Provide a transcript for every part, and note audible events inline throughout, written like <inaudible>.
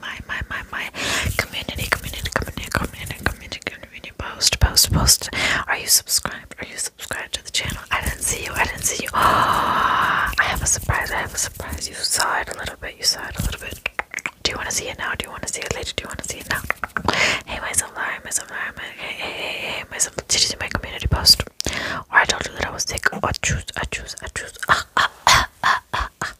my my my my community community community community community community post post post. Are you subscribed? Are you subscribed to the channel? I didn't see you. I didn't see you. Oh, <gasps> I have a surprise. I have a surprise. You saw it a little bit. You saw it a little bit. Do you want to see it now? Do you want to see it later? Do you want to see it now? Hey, my sunflower, my sunflower, my hey hey hey hey my sunflower. Did you see my community post? Or I told you that I was sick. I choose. I choose. I choose. ah ah ah ah. ah.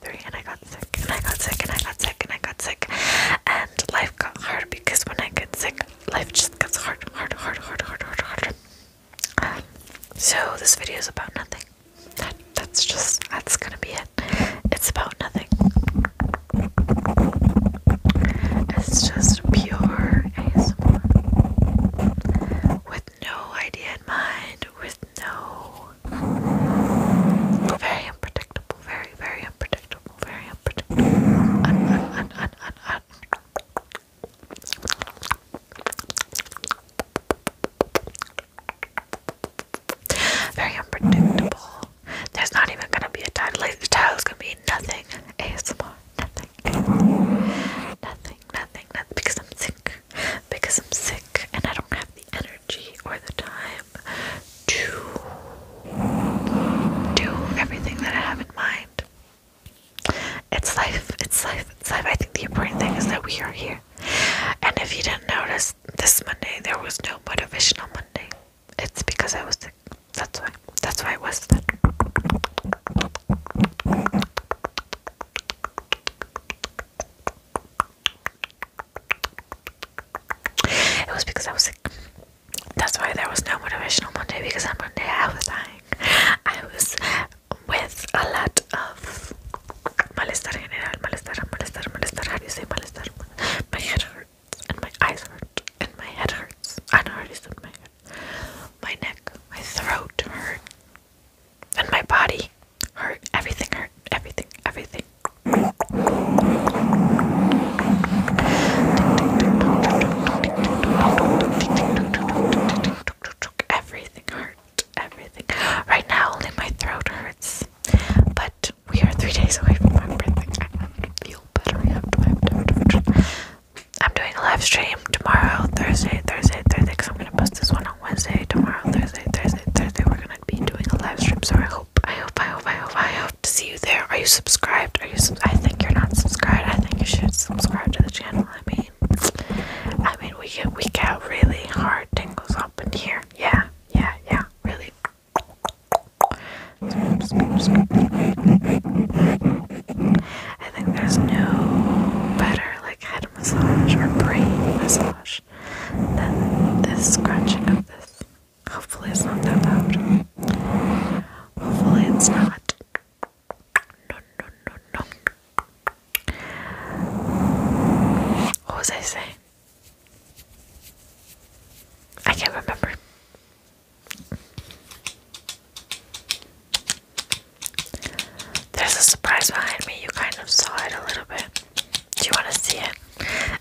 three, and I got sick, and I got sick, and I got sick, and I got sick, and life got hard because when I get sick, life just gets hard, hard, hard, hard, hard, hard, hard. Um, so this video is about nothing. That that's just that's gonna be it. It's about nothing. It's just pure ASMR with no idea in mind, with no very unpredictable very, very unpredictable, very unpredictable. <laughs> Very unpredictable. There's not even gonna be a title. Like, the title's gonna be nothing ASMR, nothing, ASMR. nothing, nothing, nothing. Because I'm sick. Because I'm sick, and I don't have the energy or the time time do everything that I have in mind. It's life, it's life, it's life. I think the important thing is that we are here. And if you didn't notice, this Monday there was no motivational Monday. It's because I was That's why. That's why I was sick. It was because I was sick. That's why there was no motivational Monday because on Monday I was dying. I was with a lot of malestar general, malestar, malestar, malestar. How do you My head hurts and my eyes hurt and my head hurts. I know already said my head. My neck, my throat hurt, and my body hurt. Everything hurt. Everything, everything, Everything hurt. Everything. Right now, only my throat hurts. But we are three days away from my birthday. I feel better after my birthday. I'm doing a live stream tomorrow, Thursday, Thursday, Thursday, because I'm gonna post this one on Wednesday. Tomorrow, Thursday, Thursday, Thursday, we're gonna be doing a live stream. So I I hope, I hope, I hope, I hope to see you there. Are you subscribed? Are you? I think you're not subscribed. I think you should subscribe to the channel. I mean, I mean, we get we get really hard tingles up in here. Yeah, yeah, yeah, really. I think there's no better like head massage or brain massage than this scratching of this. Hopefully, it's not that loud. Hopefully, it's not. No, no, no, no. What was I saying? I can't remember. There's a surprise behind me. You kind of saw it a little bit. Do you want to see it?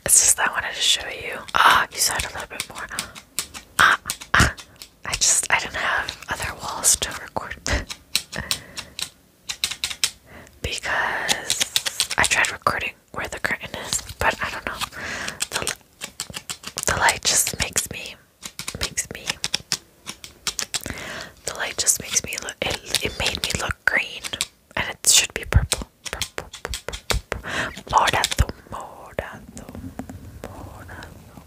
It's just that I wanted to show you. Ah, oh, you saw it a little bit more. Ah, ah. I just I didn't have other walls to record <laughs> because I tried recording where the curtain is, but I don't know. The the light just makes me makes me. The light just makes me It it made me look green and it should be purple. Purple, purple, purple, purple. Morado, morado, morado.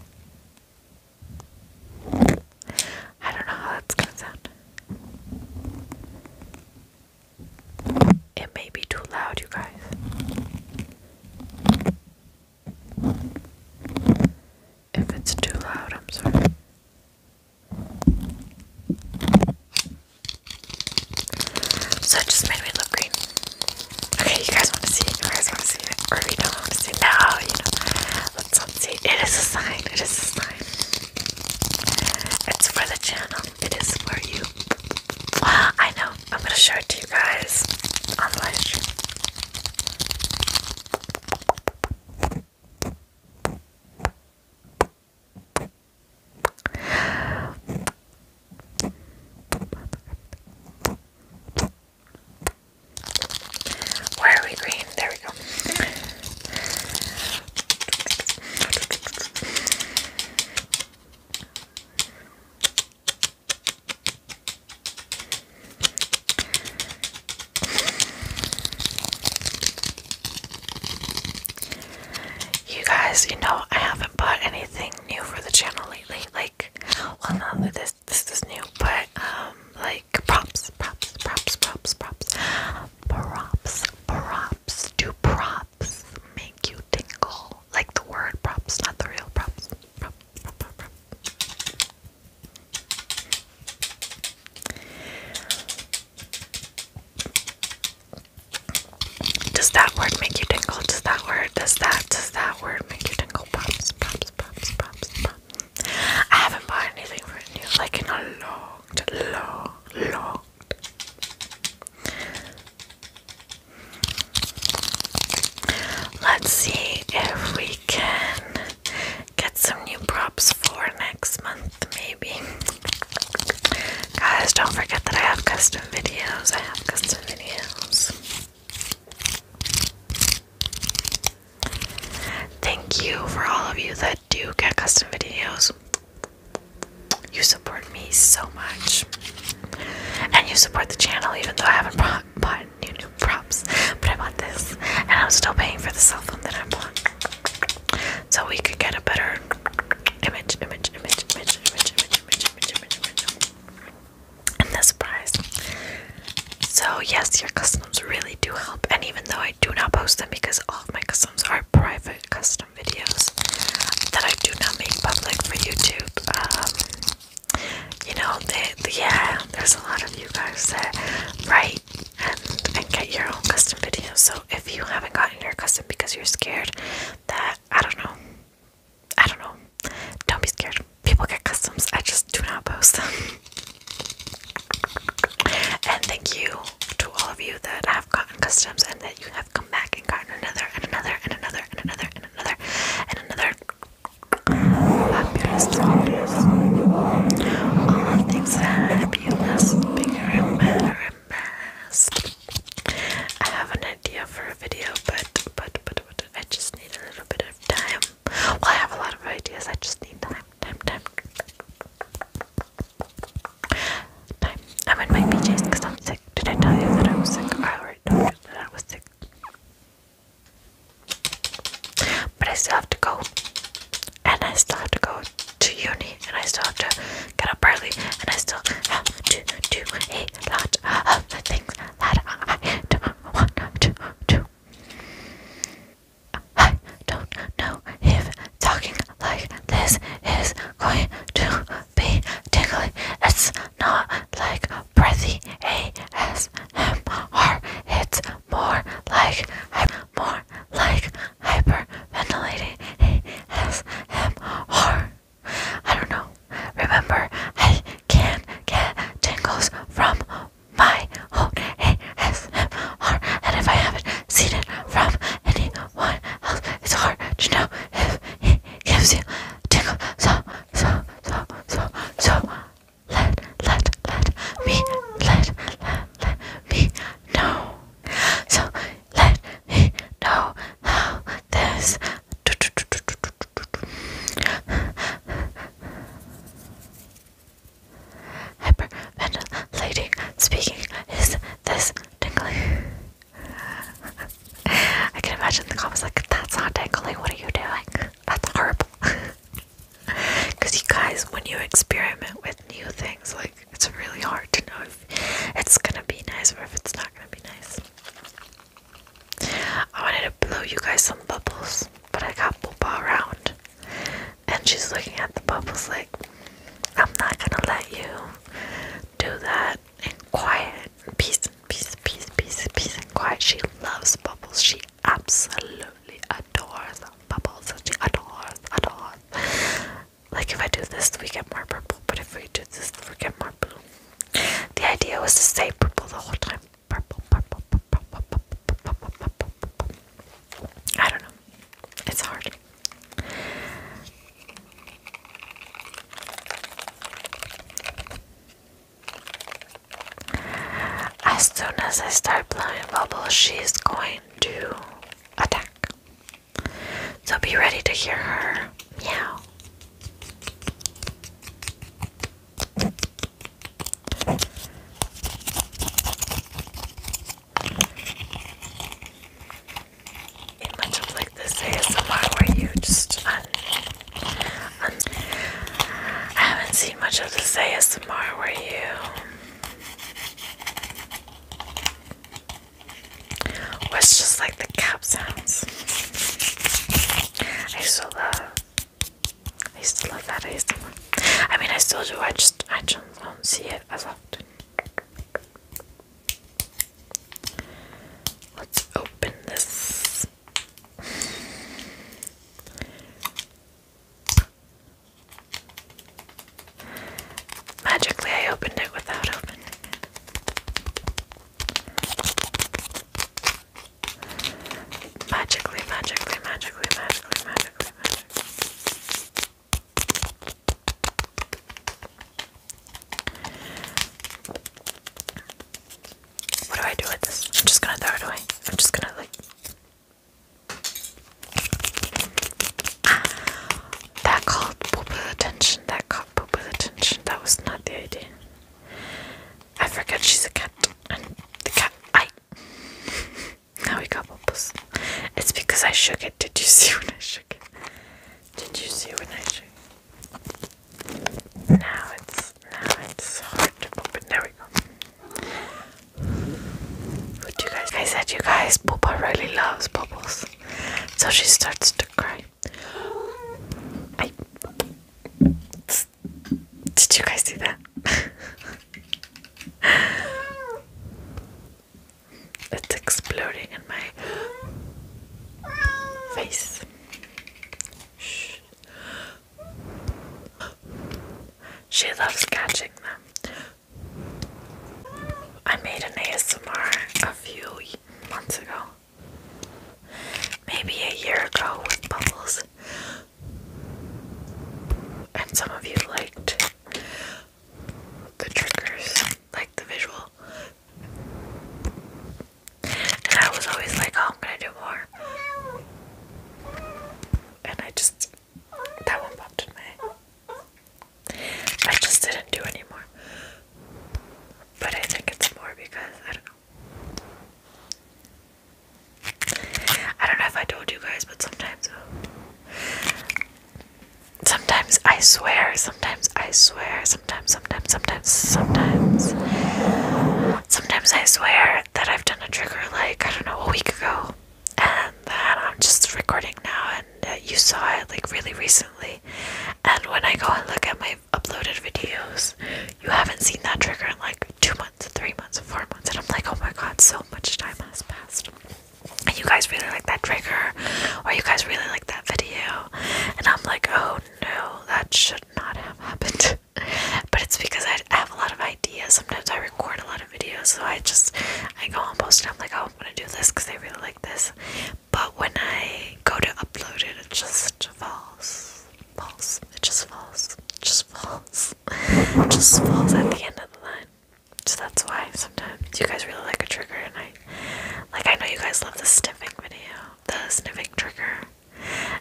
I don't know how that's gonna sound. It may be too loud, you guys. If it's too loud, I'm sorry. So it just made me look green. Okay, you guys want to see it? You guys want to see it? Or you don't want to see it? No, you know. Let's not see. It is a sign. It is a sign. It's for the channel. It is for you. Ah, I know. I'm going to show it to you guys on the live stream. Why are we green? There we go. You guys, you know, I haven't bought anything new for the channel lately. Like, well, not that this this is new, but um, like props, props, props, props, props, props, props. Do props make you tingle? Like the word props, not the real props. Prop, prop, prop, prop. Does that word make you tingle? Does that word? Does that? Does that word make you tingle? Pops, pops, pops, pops, pops. I haven't bought anything for you like in a long, long, long. Let's see if we can get some new props for next month, maybe. Guys, don't forget that I have custom videos. I have custom videos. Thank you for all of you that do get custom videos. You support me so much. And you support the channel even though I haven't bought new new props. But I bought this. And I'm still paying for the cell phone that I bought. So we could get a better image, image, image, image, image, image, image, image, image, image. And this prize. So yes, your customs really do help. And even though I do not post them because all of my customs are private custom videos that I do not make public for YouTube, um, you know, they, they, yeah, there's a lot of you guys that write and, and get your own custom videos. So if you haven't gotten your custom because you're scared that I don't know. I don't know. Don't be scared. People get customs. I just do not post them. and thank you to all of you that have gotten customs and that you have come back and gotten another and another and another and another and another and another. Fabulous, fabulous. All things fabulous. Bigger and better and I have an idea for a video, but, but, but, but I just need a little bit of time. Well, I have a lot of ideas, I just need time, time, time. Time. I'm in my PJs because I'm sick. Did I tell you that I was sick? I already told you that I was sick. But I still have to go. And I still have to go to uni and I still have to get up early, and I still have to do a lot of things that I don't want to do. I don't know if talking like this is going to be tickly. It's not like breathy ASMR. It's more like I'm more like hyperventilating ASMR. I don't know. Remember, I can get tingles from my own ASMR, and if I haven't seen it from anyone else, it's hard to know if it gives you tingles. So, so, so, so, so, let, let, let me, let, let, let me know. So let me know how this. Hyperventilating speaking is this tingling. I can imagine the comments like, that's not tingling, what are you doing? That's horrible. Because <laughs> you guys, when you experiment with new things, like it's really hard to know it's gonna be nice or if it's not gonna be nice. I wanted to blow you guys some bubbles, but I got Boba around, and she's looking at the bubbles like, I'm not gonna let you do that in quiet, peace, peace, peace, peace, peace, and quiet. She loves bubbles. She absolutely adores bubbles. She adores, adores. Like if I do this, we get more purple, but if we do this, we get more blue. The idea was to stay purple the whole time. Purple, purple, purple, purple, purple, purple, purple, purple. I don't know. It's hard. As soon as I start blowing bubbles, she's going to attack. So be ready to hear her meow. It much like this ASMR where you just uh, um, I haven't seen much of this ASMR where you was just like the cap sounds. I used to love, I used to love that ASMR. I mean, I still do. I just, I just don't see it as often. Let's open this. Magically, I opened it without opening Magically, magically, magically, magically, magically, What do I do with this? I'm just gonna throw it away. I'm just gonna like. That called attention. That caught Poopa's attention. That was not the idea. I forget she's a cat. And the cat. I. now we got bubbles. It's because I shook it. Did you see when I shook it? Did you see when I shook it? Now it's. Now it's hard to open. There we go. What do you guys? I said you guys. Poopa really loves bubbles. So she starts to cry did you guys see that? <laughs> it's exploding in my face. She loves catching them. I made an ASMR a few months ago maybe a year ago with Bubbles, and some of you liked the triggers, like the visual. And I was always like, oh, I'm gonna do more. And I just, that one popped in I just didn't do anymore but I think it's more because I don't know. I don't know if I told you guys, but sometimes, uh, sometimes I swear, sometimes I swear, sometimes, sometimes, sometimes, sometimes, sometimes I swear that I've done a trigger like I don't know a week ago, and then I'm just recording now, and uh, you saw it like really recently. And when I go and look at my uploaded videos, you haven't seen that trigger in like two months, three months, four months, and I'm like, oh my god, so much time has passed. And you guys really like that trigger, or you guys really like that video, and I'm like, oh no, that should not have happened. <laughs> but it's because I have a lot of ideas. Sometimes I record a lot of videos, so I just I go and post and I'm like, oh, I'm gonna do this because I really like this but when I go to upload it, it just falls, falls, it just falls, it just falls, it just falls at the end of the line. So that's why sometimes you guys really like a trigger, and I, like I know you guys love the sniffing video, the sniffing trigger,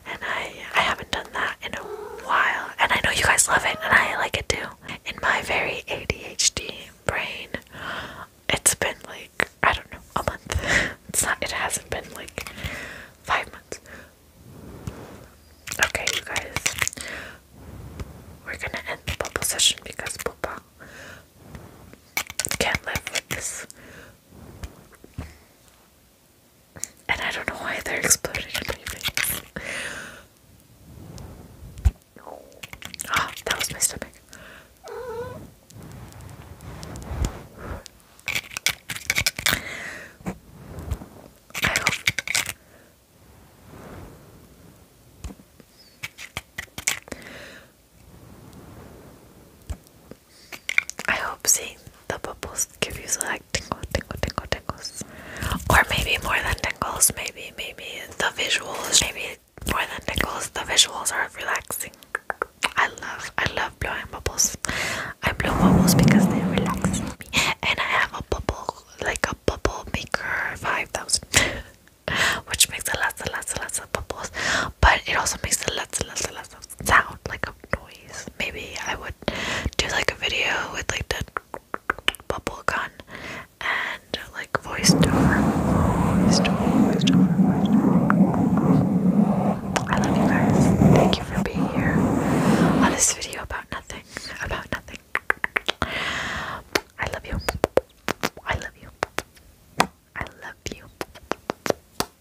and I, I haven't done that in a while, and I know you guys love it, and I like it too. In my very ADHD brain, it's been like I don't know a month. <laughs> it's not. It hasn't been like five months. Okay, you guys, we're gonna end the bubble session because Papa can't live with this. And I don't know why they're exploding oh, that was my stomach. I hope seeing the bubbles give you like tingle, tingle, tingle, tingles. Or maybe more than tingles, maybe, maybe the visuals, maybe more than nickels. The visuals are relaxing. I love, I love blowing bubbles. I blow bubbles because they relax me, and I have a bubble, like a bubble maker, five thousand, <laughs> which makes a lots and lots and lots of bubbles. But it also makes a lots and lots and lots of sound, like a noise. Maybe I would do like a video with like the bubble gun and like voice voice I love you guys. Thank you for being here on this video about nothing. About nothing. I love you. I love you. I love you.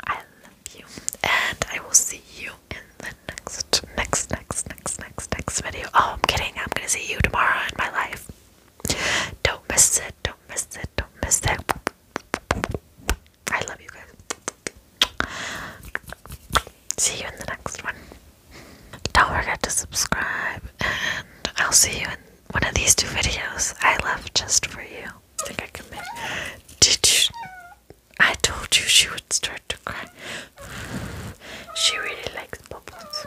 I love you. And I will see you in the next, next, next, next, next, next video. Oh, I'm kidding. I'm gonna see you tomorrow in my life. Don't miss it. Don't miss it. Don't miss it. I love you guys. See you in the next one. Don't forget to subscribe, and I'll see you in one of these two videos I left just for you. I think I can make. Did you? I told you she would start to cry. She really likes bubbles.